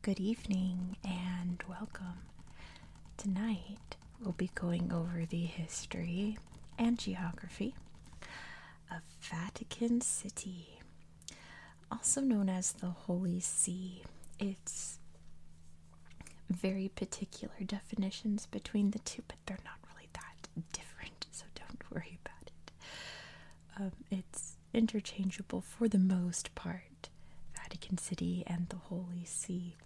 Good evening and welcome. Tonight we'll be going over the history and geography of Vatican City, also known as the Holy See. It's very particular definitions between the two, but they're not really that different, so don't worry about it. Um, it's interchangeable for the most part, Vatican City and the Holy See.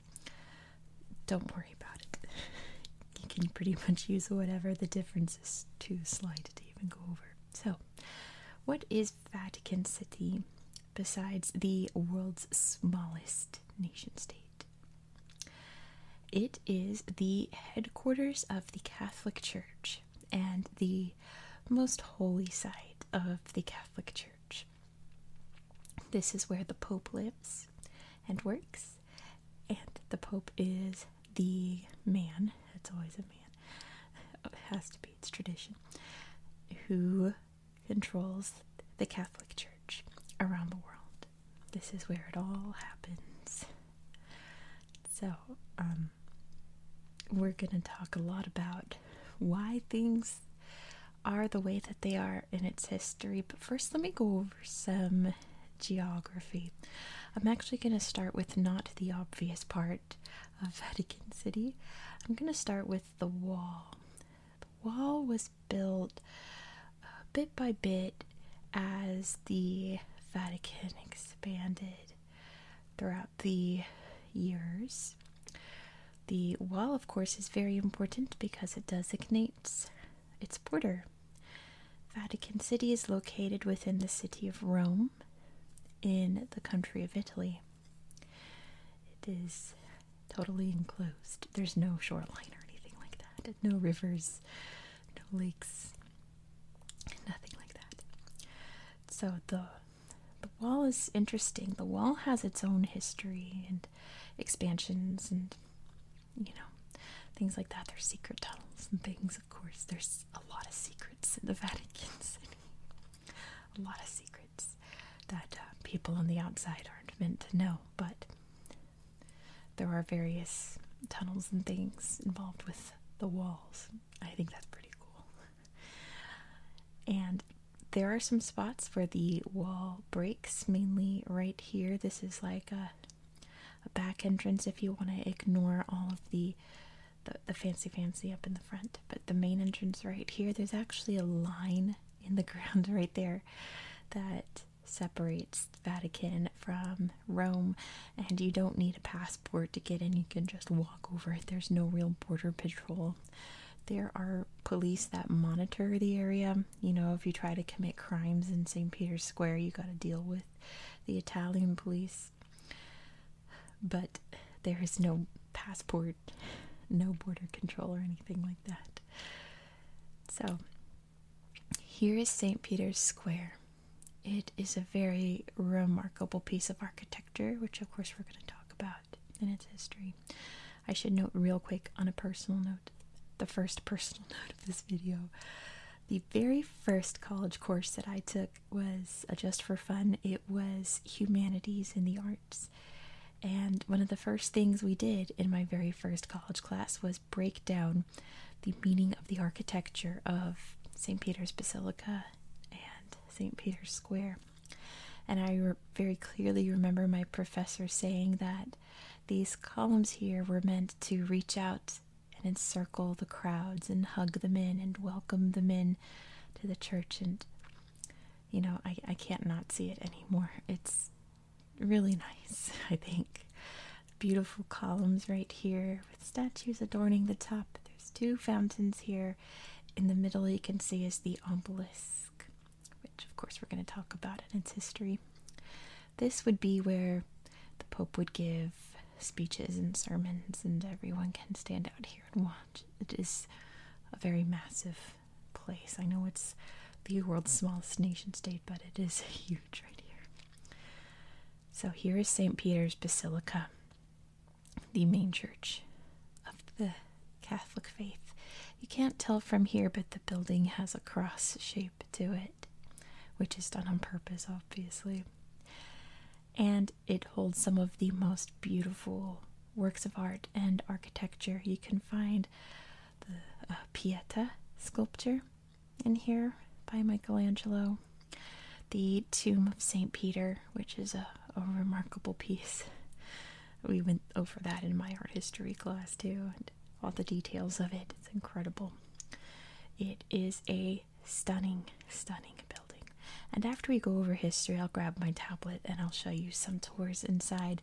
Don't worry about it. you can pretty much use whatever the difference is too slight to even go over. So, what is Vatican City besides the world's smallest nation state? It is the headquarters of the Catholic Church and the most holy side of the Catholic Church. This is where the Pope lives and works, and the Pope is the man, it's always a man, it has to be, it's tradition, who controls the Catholic Church around the world. This is where it all happens. So, um, we're going to talk a lot about why things are the way that they are in its history. But first, let me go over some geography. I'm actually going to start with not the obvious part of Vatican City. I'm going to start with the wall. The wall was built uh, bit by bit as the Vatican expanded throughout the years. The wall, of course, is very important because it designates its border. Vatican City is located within the city of Rome in the country of Italy. It is totally enclosed. There's no shoreline or anything like that. No rivers, no lakes, nothing like that. So the the wall is interesting. The wall has its own history and expansions and you know things like that. There's secret tunnels and things, of course. There's a lot of secrets in the Vatican City. a lot of secrets that uh, people on the outside aren't meant to know, but there are various tunnels and things involved with the walls. I think that's pretty cool. and there are some spots where the wall breaks, mainly right here. This is like a, back entrance if you want to ignore all of the the fancy fancy up in the front. But the main entrance right here, there's actually a line in the ground right there that separates Vatican from Rome, and you don't need a passport to get in. You can just walk over There's no real border patrol. There are police that monitor the area. You know, if you try to commit crimes in St. Peter's Square, you got to deal with the Italian police. But there is no passport, no border control, or anything like that. So, here is St. Peter's Square. It is a very remarkable piece of architecture, which, of course, we're going to talk about in its history. I should note, real quick, on a personal note, the first personal note of this video. The very first college course that I took was uh, just for fun, it was humanities in the arts. And one of the first things we did in my very first college class was break down the meaning of the architecture of St. Peter's Basilica and St. Peter's Square. And I very clearly remember my professor saying that these columns here were meant to reach out and encircle the crowds and hug them in and welcome them in to the church. And, you know, I, I can't not see it anymore. It's really nice, I think. Beautiful columns right here with statues adorning the top. There's two fountains here. In the middle, you can see is the obelisk, which, of course, we're going to talk about and its history. This would be where the Pope would give speeches and sermons, and everyone can stand out here and watch. It is a very massive place. I know it's the world's smallest nation state, but it is huge right here. So here is St. Peter's Basilica, the main church of the Catholic faith. You can't tell from here, but the building has a cross shape to it, which is done on purpose, obviously. And it holds some of the most beautiful works of art and architecture. You can find the uh, Pieta sculpture in here by Michelangelo, the tomb of St. Peter, which is a remarkable piece. We went over that in my art history class too, and all the details of it. It's incredible. It is a stunning, stunning building. And after we go over history, I'll grab my tablet and I'll show you some tours inside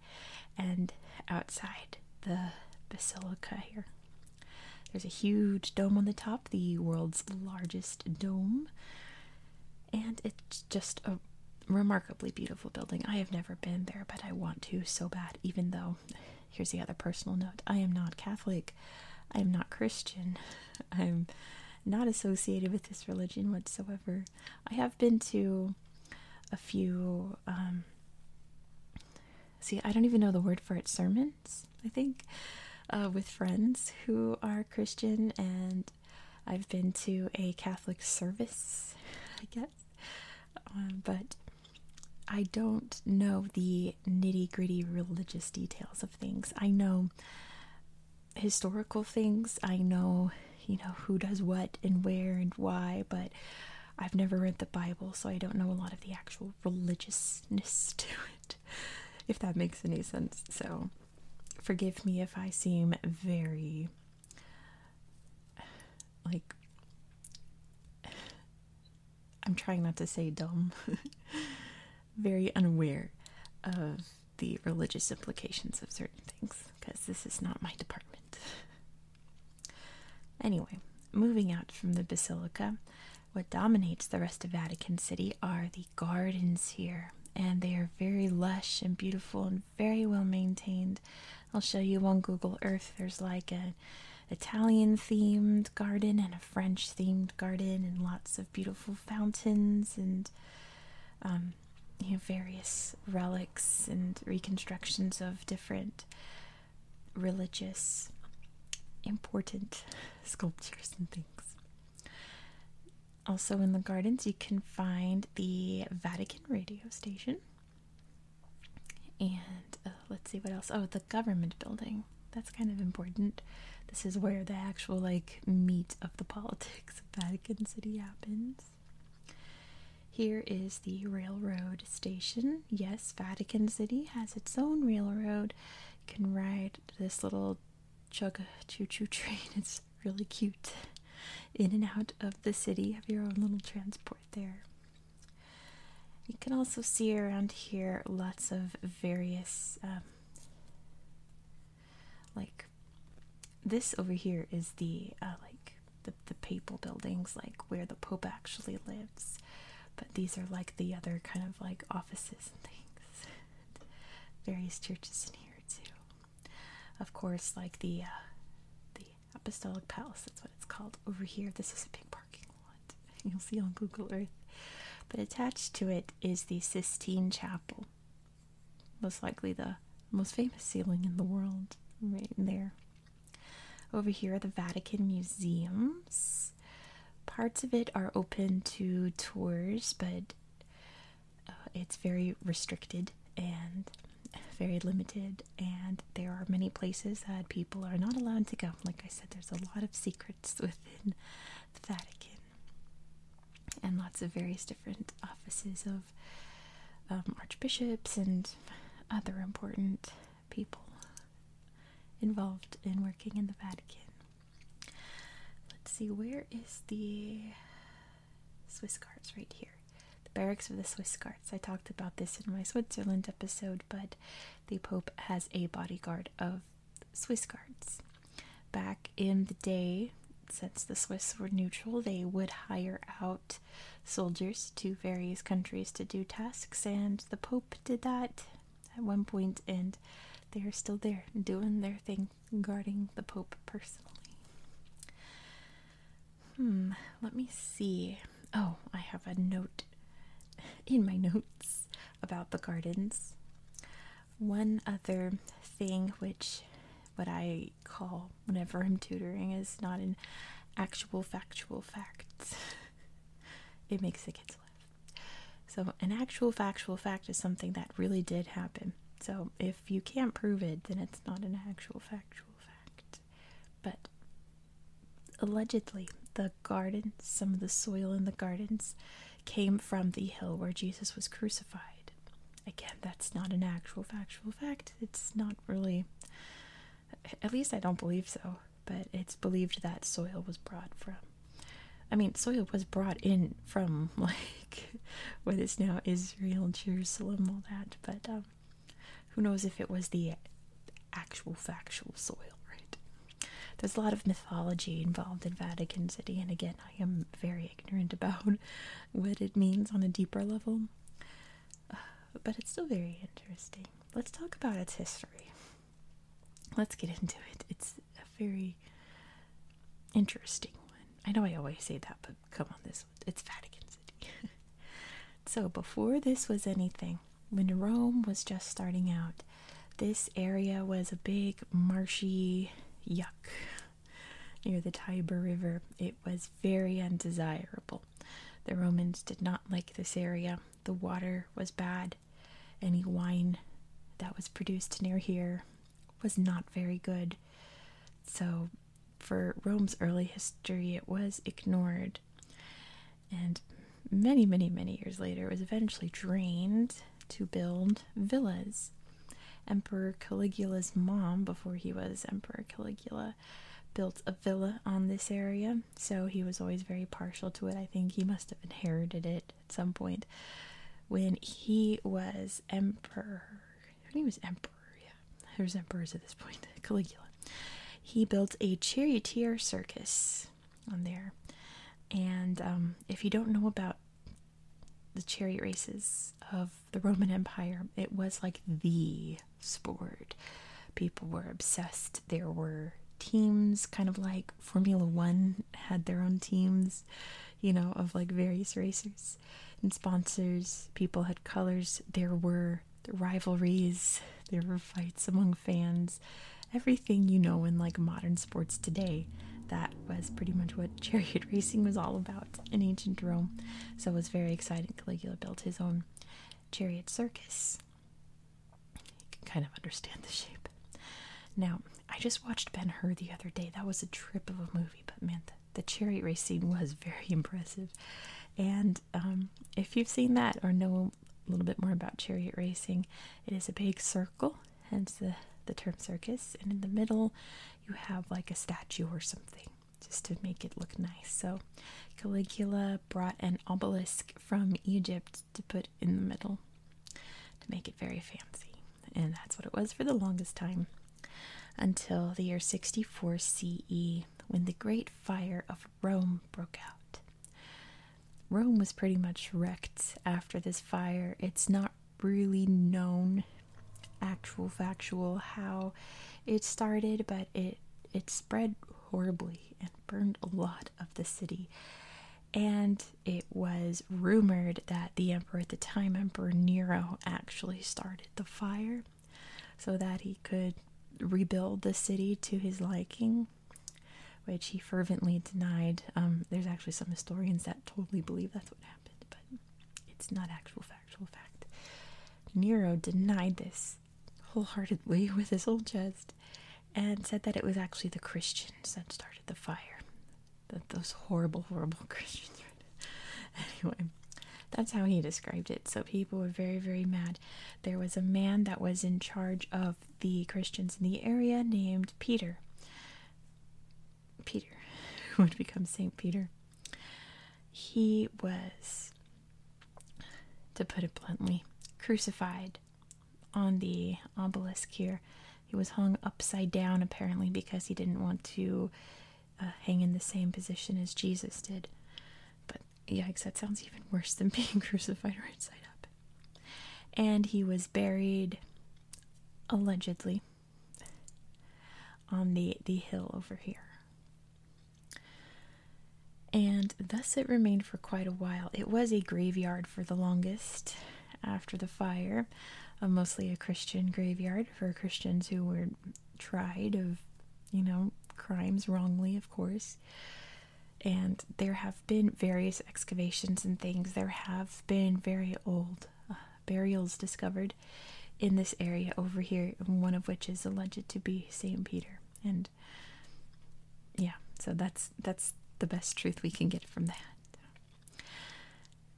and outside the basilica here. There's a huge dome on the top, the world's largest dome, and it's just a remarkably beautiful building. I have never been there, but I want to so bad, even though, here's the other personal note I am not Catholic, I am not Christian, I'm not associated with this religion whatsoever. I have been to a few, um, see, I don't even know the word for it, sermons, I think, uh, with friends who are Christian, and I've been to a Catholic service, I guess. Um, but I don't know the nitty gritty religious details of things. I know historical things, I know you know, who does what and where and why, but I've never read the Bible, so I don't know a lot of the actual religiousness to it, if that makes any sense. So forgive me if I seem very like I'm trying not to say dumb, very unaware of the religious implications of certain things because this is not my department anyway, moving out from the basilica, what dominates the rest of Vatican City are the gardens here, and they are very lush and beautiful and very well maintained. I'll show you on Google Earth there's like an Italian themed garden and a French themed garden, and lots of beautiful fountains and um, you know, various relics and reconstructions of different religious important sculptures and things. Also, in the gardens, you can find the Vatican radio station. And uh, let's see what else. Oh, the government building. That's kind of important. This is where the actual like meat of the politics of Vatican City happens. Here is the railroad station. Yes, Vatican City has its own railroad. You can ride this little chug choo choo train. It's really cute. In and out of the city, have your own little transport there. You can also see around here lots of various, um, like, this over here is the uh, like the, the papal buildings, like where the Pope actually lives. But these are like the other kind of like offices and things. Various churches in here too. Of course, like the uh, the Apostolic Palace, that's what it's called. Over here, this is a big parking lot. You'll see on Google Earth. But attached to it is the Sistine Chapel. Most likely the most famous ceiling in the world, right there. Over here are the Vatican Museums. Parts of it are open to tours, but uh, it's very restricted and very limited, and there are many places that people are not allowed to go. Like I said, there's a lot of secrets within the Vatican and lots of various different offices of um, archbishops and other important people involved in working in the Vatican. Let's see, where is the Swiss Guards? Right here. The barracks of the Swiss Guards. I talked about this in my Switzerland episode, but the Pope has a bodyguard of Swiss Guards. Back in the day, since the Swiss were neutral, they would hire out soldiers to various countries to do tasks, and the Pope did that at one point, and they are still there doing their thing, guarding the Pope personally. Hmm, let me see. Oh, I have a note in my notes about the gardens. One other thing which what I call whenever I'm tutoring is not an actual factual fact. it makes the kids laugh. So, an actual factual fact is something that really did happen. So, if you can't prove it, then it's not an actual factual fact. But allegedly, the garden, some of the soil in the gardens, came from the hill where Jesus was crucified again, that's not an actual factual fact. It's not really, at least I don't believe so, but it's believed that soil was brought from. I mean, soil was brought in from like what is now Israel, Jerusalem, all that, but um, who knows if it was the actual factual soil, right? There's a lot of mythology involved in Vatican City, and again, I am very ignorant about what it means on a deeper level. but it's still very interesting. Let's talk about its history. Let's get into it. It's a very interesting one. I know I always say that, but come on, this one. It's Vatican City. so, before this was anything, when Rome was just starting out, this area was a big, marshy yuck near the Tiber River, it was very undesirable. The Romans did not like this area. The water was bad. Any wine that was produced near here was not very good. So, for Rome's early history, it was ignored. And many, many, many years later, was eventually drained to build villas. Emperor Caligula's mom, before he was Emperor Caligula, built a villa on this area, so he was always very partial to it. I think he must have inherited it at some point when he was emperor. When he was emperor, yeah, there's emperors at this point. Caligula. He built a charioteer circus on there, and um, if you don't know about the chariot races of the Roman Empire, it was like the sport. People were obsessed. There were teams, kind of like Formula One had their own teams, you know, of like various racers and sponsors. People had colors. There were rivalries. There were fights among fans. Everything you know in like modern sports today. That was pretty much what chariot racing was all about in ancient Rome, so it was very exciting. Caligula built his own chariot circus. You can kind of understand the shape. Now, I just watched Ben Hur the other day. That was a trip of a movie, but man, the, chariot race scene was very impressive. And um, if you've seen that or know a little bit more about chariot racing, it is a big circle, hence the the term circus, and in the middle you have like a statue or something just to make it look nice. So Caligula brought an obelisk from Egypt to put in the middle to make it very fancy. And that's what it was for the longest time until the year 64 CE when the Great Fire of Rome broke out. Rome was pretty much wrecked after this fire. It's not really known actual factual how it started, but it it spread horribly and burned a lot of the city. And it was rumored that the emperor at the time, Emperor Nero, actually started the fire so that he could rebuild the city to his liking, which he fervently denied. Um, there's actually some historians that totally believe that's what happened, but it's not actual Actual fact. Nero denied this wholeheartedly with his whole chest and said that it was actually the Christians that started the fire. That those horrible, horrible Christians. anyway, that's how he described it. So people were very, very mad. There was a man that was in charge of the Christians in the area named Peter. Peter, who would become Saint Peter. He was, to put it bluntly, crucified on the obelisk here. He was hung upside down apparently because he didn't want to uh, hang in the same position as Jesus did. But yikes, that sounds even worse than being crucified right side up. And he was buried, allegedly, on the, the hill over here. And thus it remained for quite a while. It was a graveyard for the longest after the fire, uh, mostly a Christian graveyard for Christians who were tried of, you know, crimes wrongly, of course. And there have been various excavations and things. There have been very old uh, burials discovered in this area over here, one of which is alleged to be St. Peter. And yeah, so that's that's the best truth we can get from that.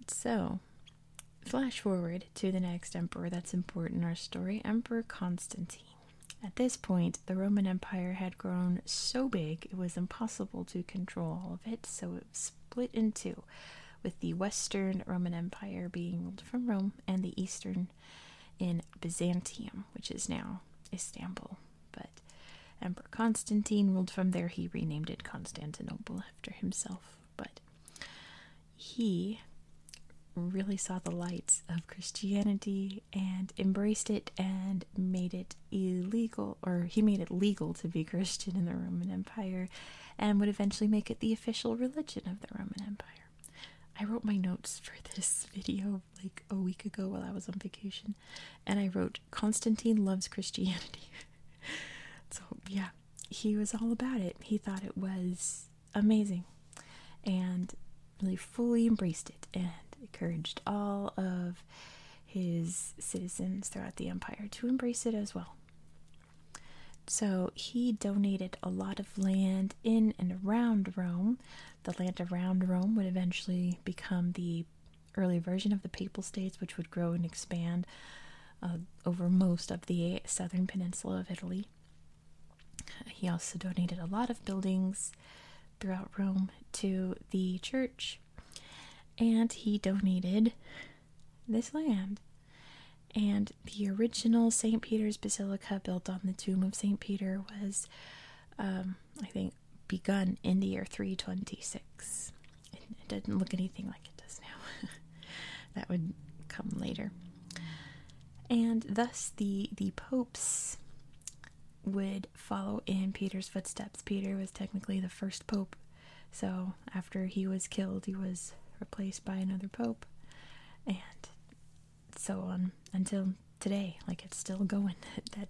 So, flash forward to the next emperor that's important in our story, Emperor Constantine. At this point, the Roman Empire had grown so big it was impossible to control all of it, so it was split in two with the Western Roman Empire being ruled from Rome and the Eastern in Byzantium, which is now Istanbul. But Emperor Constantine ruled from there. He renamed it Constantinople after himself. But he really saw the lights of Christianity and embraced it and made it illegal, or he made it legal to be Christian in the Roman Empire and would eventually make it the official religion of the Roman Empire. I wrote my notes for this video like a week ago while I was on vacation, and I wrote Constantine loves Christianity. so, yeah, he was all about it. He thought it was amazing and really fully embraced it and encouraged all of his citizens throughout the empire to embrace it as well. So he donated a lot of land in and around Rome. The land around Rome would eventually become the early version of the Papal States, which would grow and expand uh, over most of the southern peninsula of Italy. He also donated a lot of buildings throughout Rome to the church, and he donated this land. And the original St. Peter's Basilica, built on the tomb of St. Peter, was, um, I think, begun in the year 326. It, it doesn't look anything like it does now. that would come later. And thus, the, the popes would follow in Peter's footsteps. Peter was technically the first pope so after he was killed, he was replaced by another pope, and so on until today. Like it's still going. that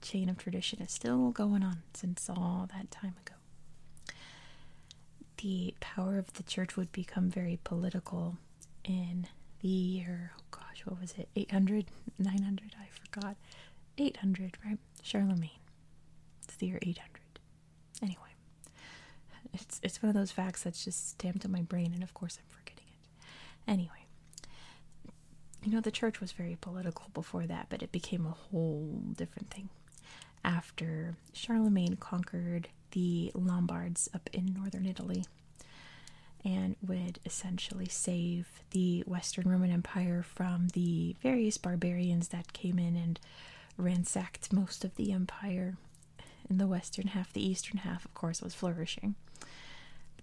chain of tradition is still going on since all that time ago. The power of the church would become very political in the year, oh gosh, what was it? 800? 900? I forgot. 800, right? Charlemagne. It's the year 800. Anyway, it's it's one of those facts that's just stamped in my brain, and of course I'm forgetting it. Anyway, you know the church was very political before that, but it became a whole different thing after Charlemagne conquered the Lombards up in northern Italy and would essentially save the Western Roman Empire from the various barbarians that came in and ransacked most of the empire. In the western half, the eastern half, of course, was flourishing.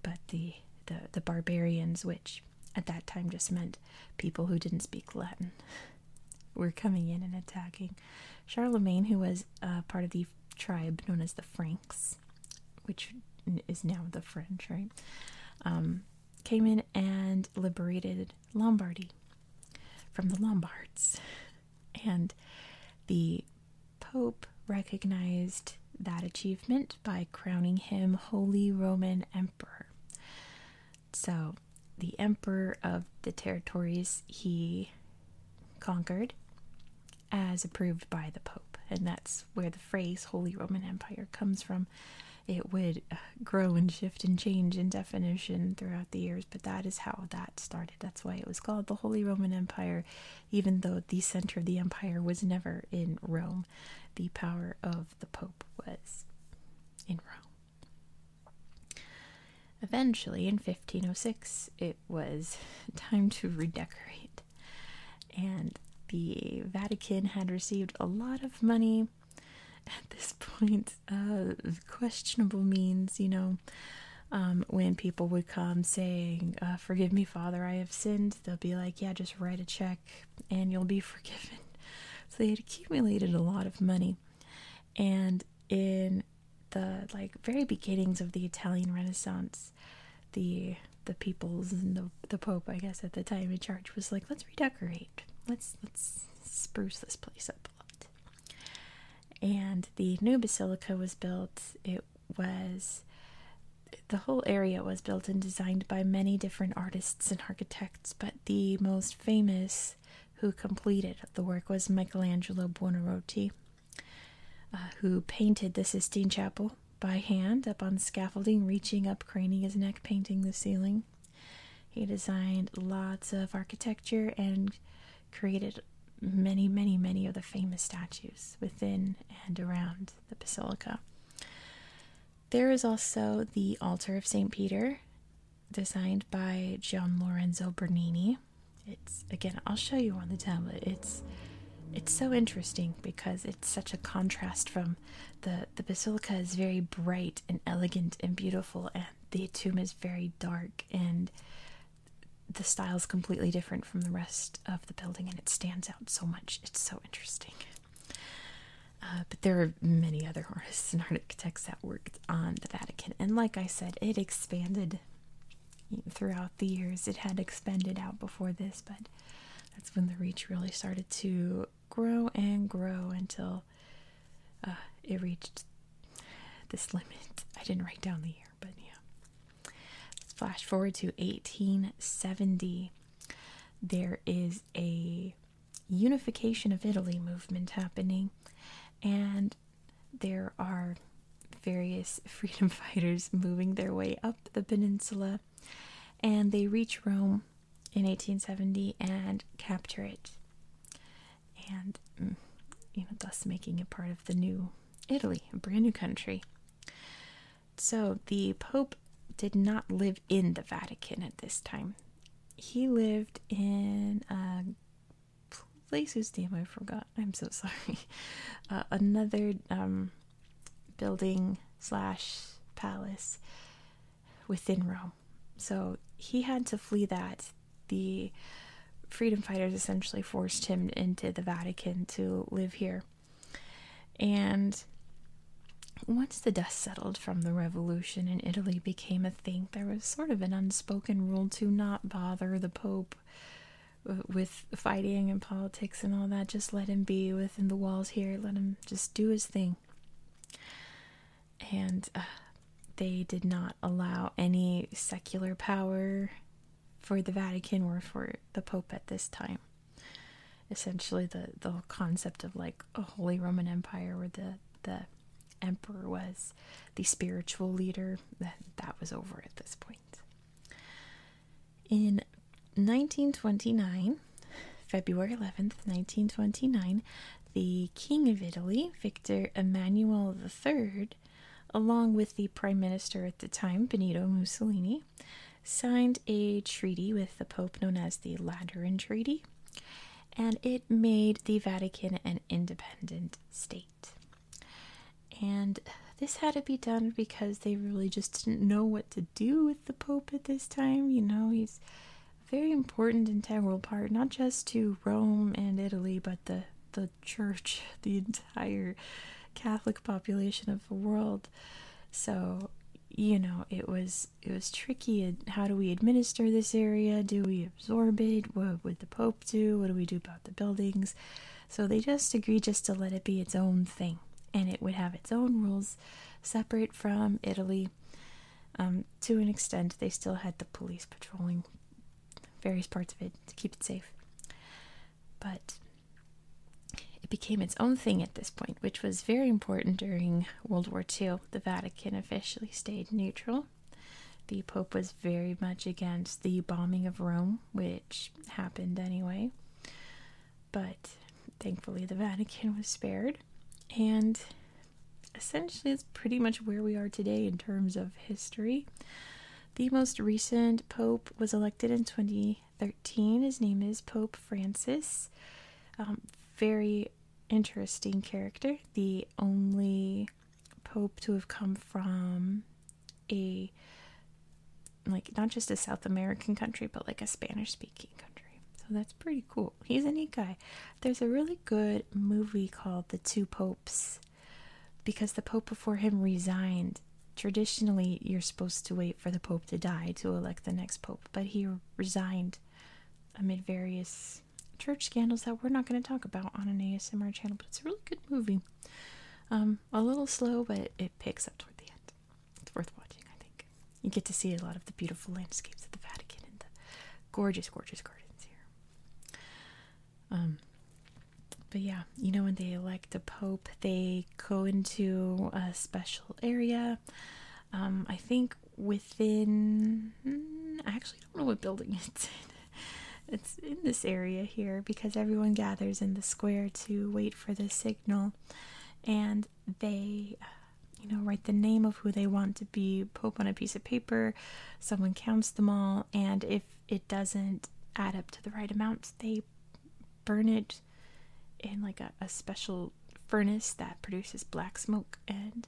But the the, the barbarians, which at that time just meant people who didn't speak Latin, were coming in and attacking. Charlemagne, who was uh, part of the tribe known as the Franks, which is now the French, right? Um, came in and liberated Lombardy from the Lombards. And the Pope recognized that achievement by crowning him Holy Roman Emperor. So, the emperor of the territories he conquered, as approved by the Pope. And that's where the phrase Holy Roman Empire comes from. It would uh, grow and shift and change in definition throughout the years but that is how that started. That's why it was called the Holy Roman Empire, even though the center of the empire was never in Rome. The power of the Pope was in Rome. Eventually, in 1506, it was time to redecorate, and the Vatican had received a lot of money at this point uh, questionable means, you know, um, when people would come saying, uh, Forgive me, Father, I have sinned, they'll be like, Yeah, just write a check and you'll be forgiven. So they had accumulated a lot of money. And in the like very beginnings of the Italian Renaissance, the the peoples and the the Pope, I guess, at the time in charge was like, let's redecorate, let's let's spruce this place up a lot. And the new basilica was built. It was the whole area was built and designed by many different artists and architects, but the most famous who completed the work was Michelangelo Buonarroti, uh, who painted the Sistine Chapel by hand up on scaffolding, reaching up, craning his neck, painting the ceiling. He designed lots of architecture and created many, many, many of the famous statues within and around the basilica. There is also the altar of St. Peter, designed by Gian Lorenzo Bernini. It's again, I'll show you on the tablet. It's it's so interesting because it's such a contrast from the the basilica is very bright and elegant and beautiful and the tomb is very dark and the style is completely different from the rest of the building and it stands out so much. It's so interesting. Uh, but there are many other artists and architects that worked on the Vatican. And like I said, it expanded throughout the years. It had expanded out before this, but that's when the reach really started to grow and grow until uh, it reached this limit. I didn't write down the year, but yeah. let flash forward to 1870. There is a unification of Italy movement happening, and there are various freedom fighters moving their way up the peninsula. And they reach Rome in 1870 and capture it and mm, you know thus making it part of the new Italy, a brand new country. So the Pope did not live in the Vatican at this time. He lived in a place whose name I forgot. I'm so sorry. Uh, another um, building slash palace within Rome. So he had to flee that. The freedom fighters essentially forced him into the Vatican to live here. And once the dust settled from the revolution and Italy became a thing, there was sort of an unspoken rule to not bother the Pope uh, with fighting and politics and all that. Just let him be within the walls here, let him just do his thing and uh, they did not allow any secular power for the Vatican or for the Pope at this time. Essentially, the the concept of like a Holy Roman Empire, where the the emperor was the spiritual leader, that that was over at this point. In 1929, February 11th, 1929, the King of Italy, Victor Emmanuel III, along with the Prime Minister at the time, Benito Mussolini, signed a treaty with the Pope known as the Lateran Treaty, and it made the Vatican an independent state. And this had to be done because they really just didn't know what to do with the Pope at this time. You know, he's very important integral part, not just to Rome and Italy, but the the church, the entire Catholic population of the world. So, you know, it was it was tricky. How do we administer this area? Do we absorb it? What would the Pope do? What do we do about the buildings? So they just agreed just to let it be its own thing, and it would have its own rules, separate from Italy. Um, to an extent, they still had the police patrolling various parts of it to keep it safe. But it became its own thing at this point, which was very important during World War II. The Vatican officially stayed neutral. The Pope was very much against the bombing of Rome, which happened anyway. But thankfully, the Vatican was spared, and essentially, it's pretty much where we are today in terms of history. The most recent pope was elected in 2013. His name is Pope Francis. Um, very interesting character. The only pope to have come from a like not just a South American country, but like a Spanish speaking country. So that's pretty cool. He's a neat guy. There's a really good movie called The Two Popes because the Pope before him resigned. Traditionally, you're supposed to wait for the Pope to die to elect the next Pope, but he resigned amid various church scandals that we're not going to talk about on an ASMR channel, but it's a really good movie. Um, a little slow, but it picks up toward the end. It's worth watching, I think. You get to see a lot of the beautiful landscapes of the Vatican and the gorgeous, gorgeous gardens here. Um, but yeah, you know, when they elect a pope, they go into a special area. Um, I think within, hmm, I actually don't know what building it's in. It's in this area here because everyone gathers in the square to wait for the signal, and they uh, you know, write the name of who they want to be Pope on a piece of paper. Someone counts them all, and if it doesn't add up to the right amount, they burn it in like a, special furnace that produces black smoke. And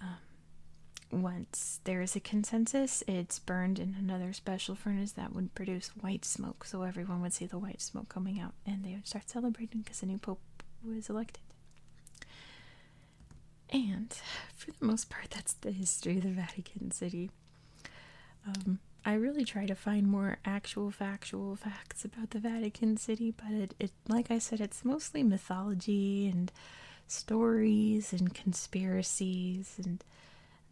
um, once there is a consensus, it's burned in another special furnace that would produce white smoke. So everyone would see the white smoke coming out, and they would start celebrating because the new Pope was elected. And for the most part, that's the history of the Vatican City. Um, I really try to find more actual factual facts about the Vatican City, but it like I said, it's mostly mythology and stories and conspiracies and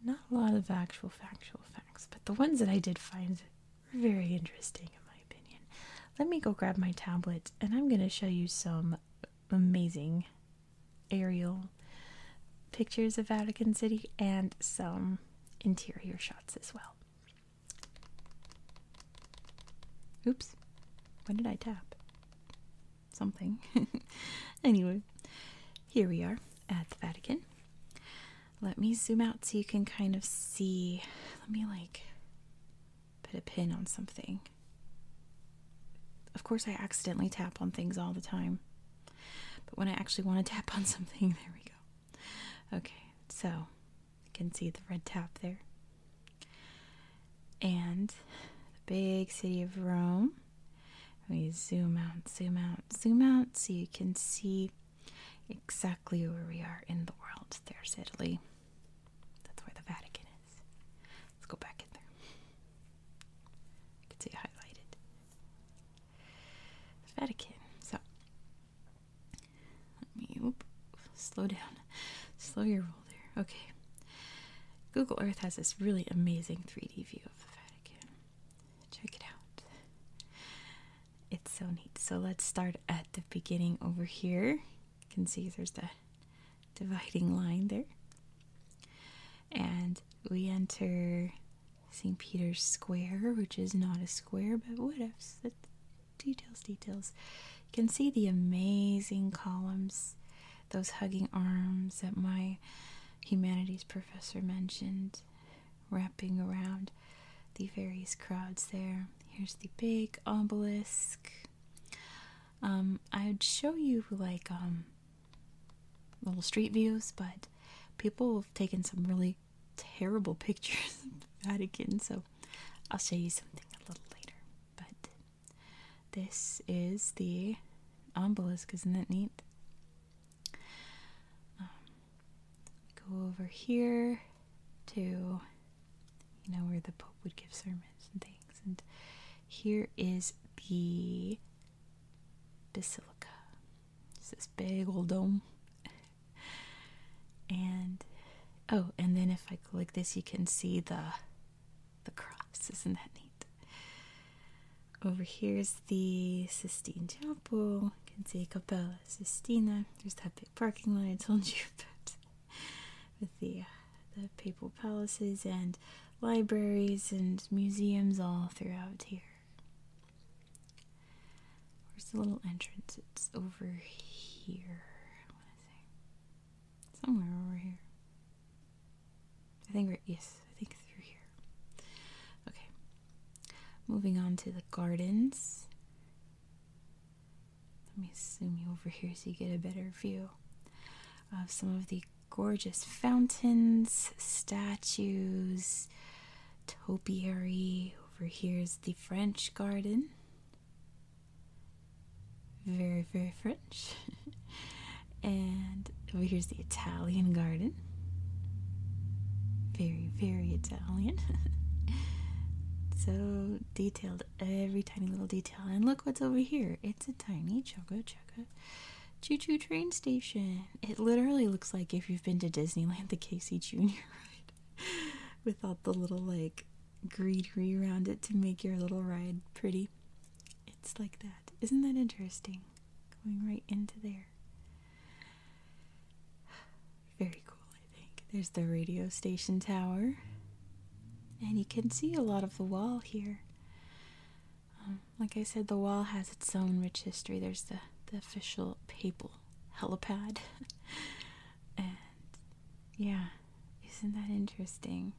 not a lot of actual factual facts. But the ones that I did find were very interesting in my opinion. Let me go grab my tablet and I'm going to show you some amazing aerial pictures of Vatican City and some interior shots as well. Oops, when did I tap? Something. anyway, here we are at the Vatican. Let me zoom out so you can kind of see. Let me like put a pin on something. Of course, I accidentally tap on things all the time, but when I actually want to tap on something, there we go. Okay, so you can see the red tap there. And the big city of Rome. We zoom out, zoom out, zoom out so you can see exactly where we are in the world. There's Italy. That's where the Vatican is. Let's go back in there. You can see it highlighted. The Vatican. So, let me slow down. Slow your roll there. Okay. Google Earth has this really amazing 3D view of the Vatican. Check it out. It's so neat. So, let's start at the beginning over here. You can see there's the dividing line there. And we enter St. Peter's Square, which is not a square, but what else? That's details, details. You can see the amazing columns, those hugging arms that my humanities professor mentioned, wrapping around the various crowds there. Here's the big obelisk um, I'd show you like um, little street views, but people have taken some really terrible pictures of Vatican, so I'll show you something a little later. But this is the obelisk, isn't that neat? Um, go over here to, you know, where the Pope would give sermons and things. And here is the basilica. It's this big old dome. and oh, and then if I click this, you can see the the cross. Isn't that neat? Over here is the Sistine Chapel. You can see Capella Sistina. There's that big parking lot I told you about with the, the papal palaces and libraries and museums all throughout here. Where's the little entrance? It's over here. I want to say somewhere over here. I think right. Yes, I think through here. Okay. Moving on to the gardens. Let me zoom you over here so you get a better view of some of the gorgeous fountains, statues, topiary. Over here is the French garden. Very, very French. and over here's the Italian garden. Very, very Italian. so detailed every tiny little detail. And look what's over here. It's a tiny Choco Choco Choo Choo train station. It literally looks like if you've been to Disneyland, the Casey Jr. ride, with all the little like greenery around it to make your little ride pretty. It's like that. Isn't that interesting? Going right into there. Very cool. There's the radio station tower. And you can see a lot of the wall here. Um, like I said, the wall has its own rich history. There's the, the official papal helipad. and yeah, isn't that interesting?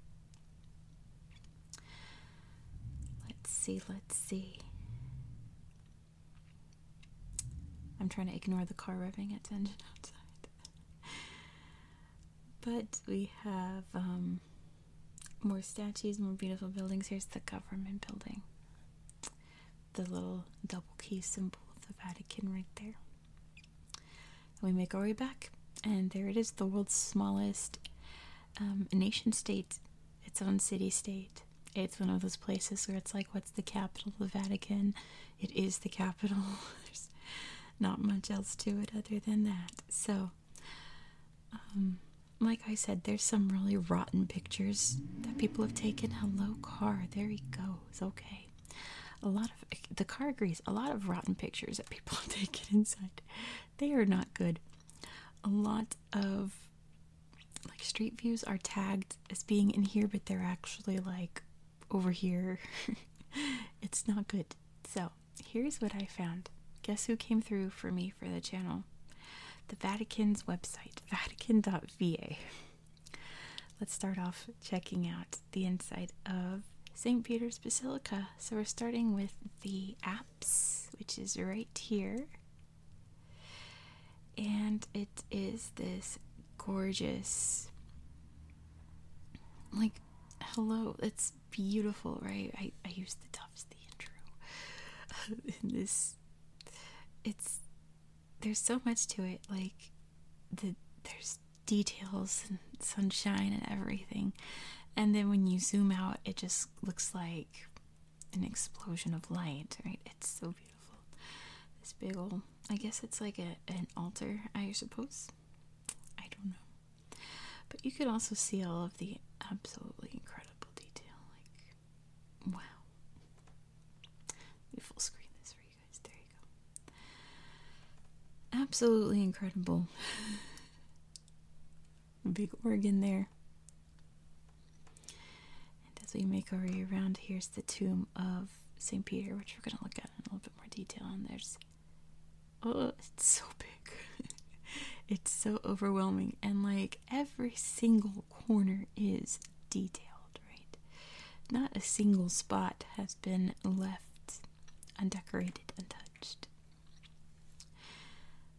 Let's see, let's see. I'm trying to ignore the car revving its engine outside. But we have um, more statues, more beautiful buildings. Here's the government building. The little double key symbol of the Vatican right there. We make our way back, and there it is the world's smallest um, nation state, its own city state. It's one of those places where it's like, what's the capital? of The Vatican. It is the capital. not much else to it other than that. So, um, like I said, there's some really rotten pictures that people have taken. Hello, car. There he goes. Okay. A lot of eh, the car agrees. A lot of rotten pictures that people have taken inside. They are not good. A lot of like street views are tagged as being in here, but they're actually like over here. it's not good. So, here's what I found. Guess who came through for me for the channel? The Vatican's website, vatican.va. Let's start off checking out the inside of St. Peter's Basilica. So, we're starting with the apse, which is right here. And it is this gorgeous. Like, hello, It's beautiful, right? I, I used the toughs, the intro. In this, it's there's so much to it. Like, the there's details and sunshine and everything, and then when you zoom out, it just looks like an explosion of light, right? It's so beautiful. This big old, I guess it's like a, an altar, I suppose. I don't know. But you could also see all of the absolutely incredible detail. Like, wow. Let me full screen this for you guys. There you go. Absolutely incredible. Big organ there. And as we make our way around, here's the tomb of St. Peter, which we're going to look at a little bit more detail and there's oh it's so big it's so overwhelming and like every single corner is detailed right not a single spot has been left undecorated untouched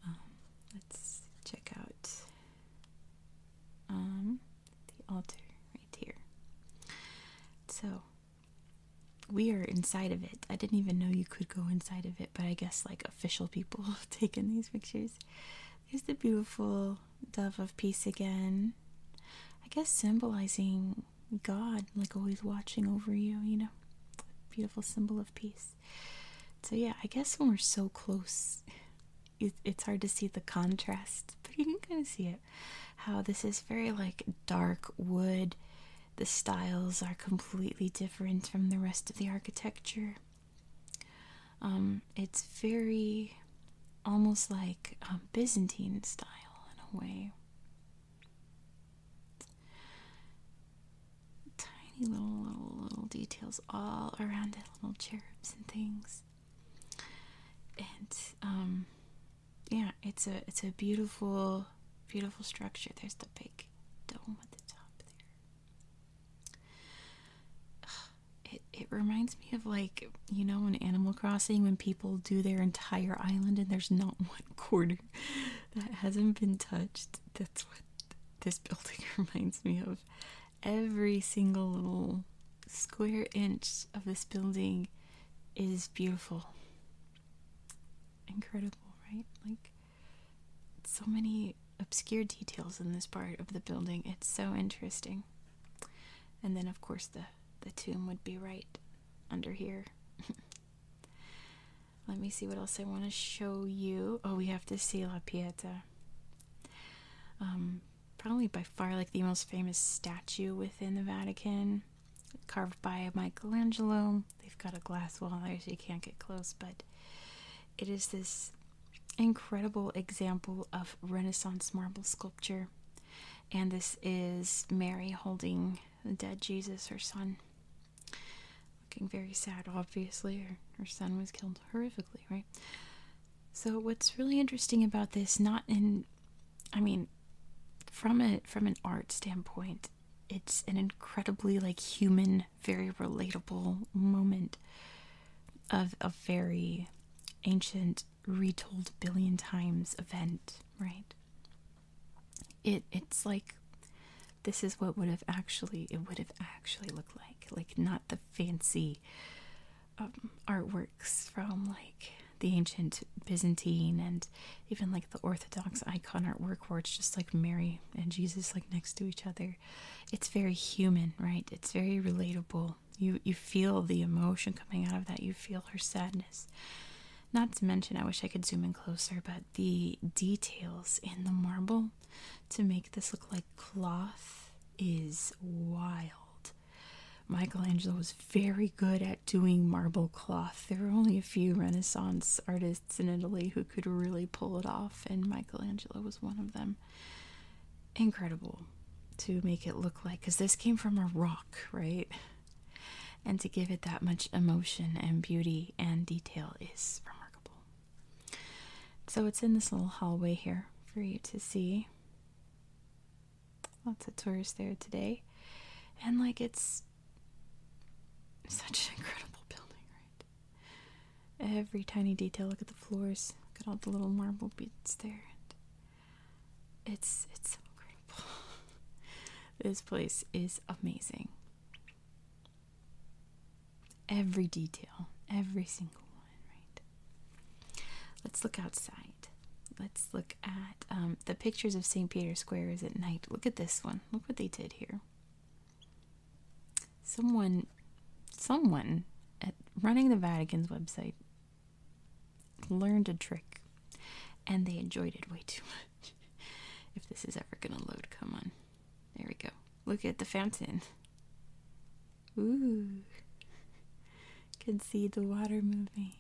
um, let's check out um, the altar right here so we are inside of it. I didn't even know you could go inside of it, but I guess like official people have taken these pictures. There's the beautiful dove of peace again. I guess symbolizing God, like always watching over you, you know. Beautiful symbol of peace. So, yeah, I guess when we're so close, it's hard to see the contrast, but you can kind of see it how this is very like dark wood. The styles are completely different from the rest of the architecture. Um, it's very almost like Byzantine style in a way. Tiny little, little, little details all around it, little cherubs and things. And um, yeah, it's a it's a beautiful beautiful structure. There's the big dome at the top there. It it reminds me of like, you know, in Animal Crossing when people do their entire island and there's not one corner that hasn't been touched. That's what this building reminds me of. Every single little square inch of this building is beautiful. Incredible, right? Like, so many obscure details in this part of the building. It's so interesting. And then, of course, the, the tomb would be right under here. Let me see what else I want to show you. Oh, we have to see La Pieta. Um, probably by far like the most famous statue within the Vatican, carved by Michelangelo. They've got a glass wall there so you can't get close, but it is this incredible example of Renaissance marble sculpture. And this is Mary holding the dead Jesus, her son. Looking very sad, obviously. Her, her son was killed horrifically, right? So, what's really interesting about this, not in I mean, from a from an art standpoint, it's an incredibly like human, very relatable moment of a very ancient, retold billion times event, right? It it's like this is what would have actually it would have actually looked like, like not the fancy um, artworks from like the ancient Byzantine and even like the Orthodox icon artwork where it's just like Mary and Jesus like next to each other. It's very human, right? It's very relatable. You you feel the emotion coming out of that. You feel her sadness. Not to mention, I wish I could zoom in closer, but the details in the marble to make this look like cloth is wild. Michelangelo was very good at doing marble cloth. There were only a few Renaissance artists in Italy who could really pull it off, and Michelangelo was one of them. Incredible to make it look like, because this came from a rock, right? And to give it that much emotion and beauty and detail is remarkable. So it's in this little hallway here for you to see. Lots of tourists there today. And like it's such an incredible building, right? Every tiny detail. Look at the floors. Look at all the little marble bits there. And it's it's so incredible. this place is amazing. Every detail, every single one, right? Let's look outside. Let's look at um, the pictures of St. Peter's Square is at night. Look at this one. Look what they did here. Someone, someone at running the Vatican's website learned a trick and they enjoyed it way too much. if this is ever going to load, come on. There we go. Look at the fountain. Ooh. Can see the water moving.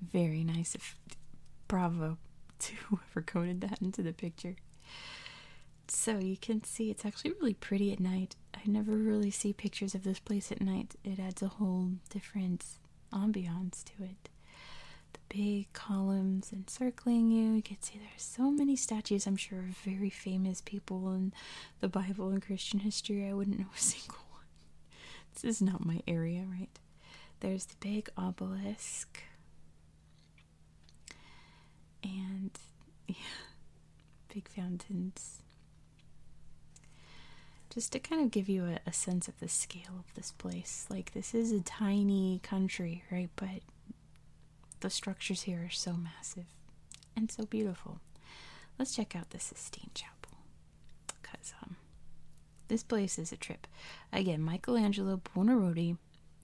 Very nice If, Bravo to whoever coded that into the picture. So you can see it's actually really pretty at night. I never really see pictures of this place at night. It adds a whole different ambiance to it. The big columns encircling you. You can see there's so many statues, I'm sure, of very famous people in the Bible and Christian history. I wouldn't know a single one this is not my area, right? There's the big obelisk. And yeah, big fountains. Just to kind of give you a, a sense of the scale of this place. Like, this is a tiny country, right? But the structures here are so massive and so beautiful. Let's check out the Sistine Chapel. Because um, this place is a trip. Again, Michelangelo Buonarotti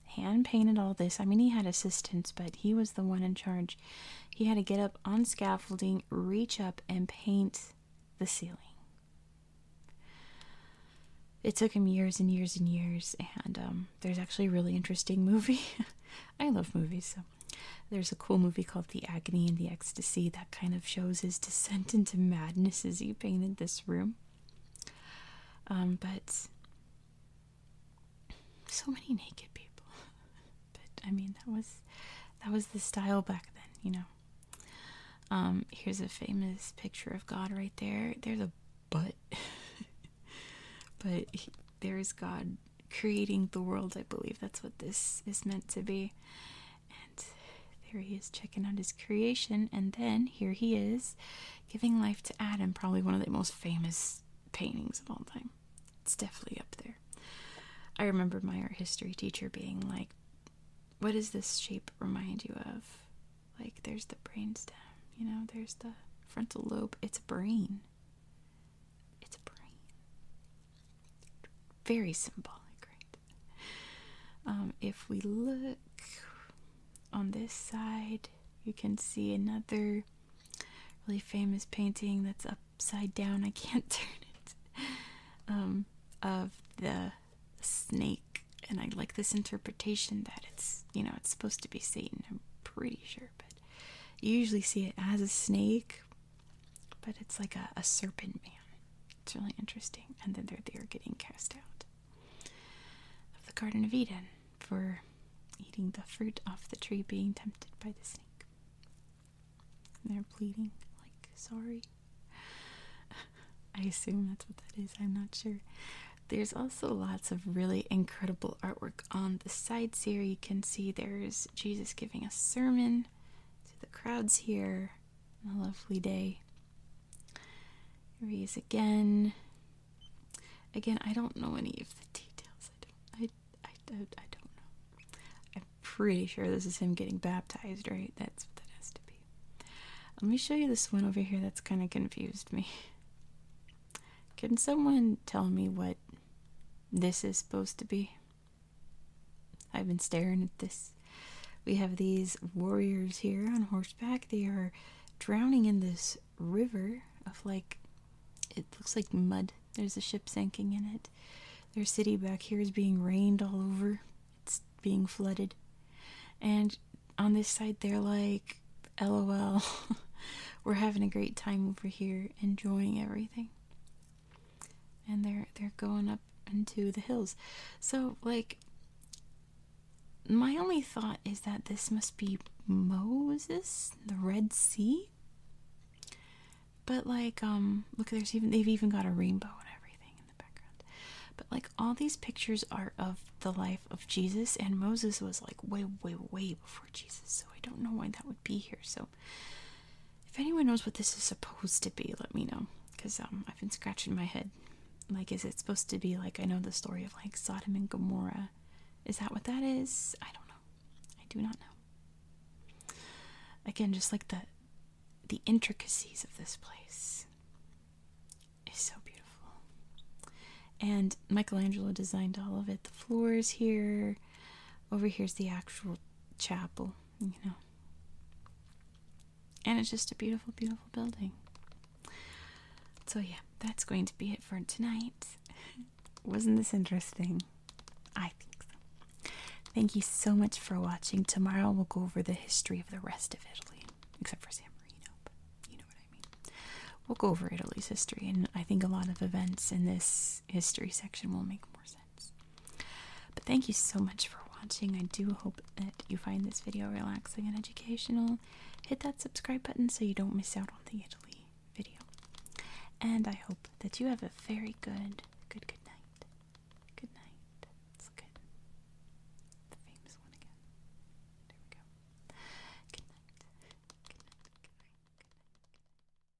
hand painted all this. I mean, he had assistants, but he was the one in charge. He had to get up on scaffolding, reach up, and paint the ceiling. It took him years and years and years, and um, there's actually a really interesting movie. I love movies, so there's a cool movie called The Agony and the Ecstasy that kind of shows his descent into madness as he painted this room. Um, but so many naked people. but I mean that was that was the style back then, you know. Um, here's a famous picture of God right there. There's a butt. but there's God creating the world, I believe that's what this is meant to be. And there he is checking out his creation, and then here he is giving life to Adam, probably one of the most famous paintings of all time. It's definitely up there. I remember my art history teacher being like, What does this shape remind you of? Like, there's the brainstem, you know, there's the frontal lobe. It's a brain. It's a brain. Very symbolic, um, if we look on this side, you can see another really famous painting that's upside down. I can't turn it. Um, of the snake, and I like this interpretation that it's you know it's supposed to be Satan. I'm pretty sure, but you usually see it as a snake but it's like a, serpent man. It's really interesting. And then they're there getting cast out of the Garden of Eden for eating the fruit off the tree, being tempted by the snake. And they're pleading, like, sorry. I assume that's what that is. I'm not sure. There's also lots of really incredible artwork on the side. Here you can see there's Jesus giving a sermon to the crowds here a lovely day. Reese again. Again, I don't know any of the details. I don't. I, I, I don't know. I'm pretty sure this is him getting baptized, right? That's what that has to be. Let me show you this one over here. That's kind of confused me. Can someone tell me what this is supposed to be? I've been staring at this. We have these warriors here on horseback. They are drowning in this river of like, it looks like mud. There's a ship sinking in it. Their city back here is being rained all over, it's being flooded. And on this side, they're like, LOL, we're having a great time over here, enjoying everything and they're they're going up into the hills. So like my only thought is that this must be Moses, the Red Sea. But like um look there's even they've even got a rainbow and everything in the background. But like all these pictures are of the life of Jesus and Moses was like way way way before Jesus. So I don't know why that would be here. So if anyone knows what this is supposed to be, let me know. Because um, I've been scratching my head. Like, is it supposed to be like I know the story of like Sodom and Gomorrah? Is that what that is? I don't know. I do not know. Again, just like the the intricacies of this place is so beautiful. And Michelangelo designed all of it. The floors here. Over here's the actual chapel, you know. And it's just a beautiful, beautiful building. So, yeah, that's going to be it for tonight. Wasn't this interesting? I think so. Thank you so much for watching. Tomorrow we'll go over the history of the rest of Italy, except for San Marino, but you know what I mean. We'll go over Italy's history, and I think a lot of events in this history section will make more sense. But thank you so much for watching. I do hope that you find this video relaxing and educational. Hit that subscribe button so you don't miss out on the Italy video. And I hope that you have a very good, good, good night. Good night. It's good. The famous one again. There we go. Good night. Good night. Good night. Good night.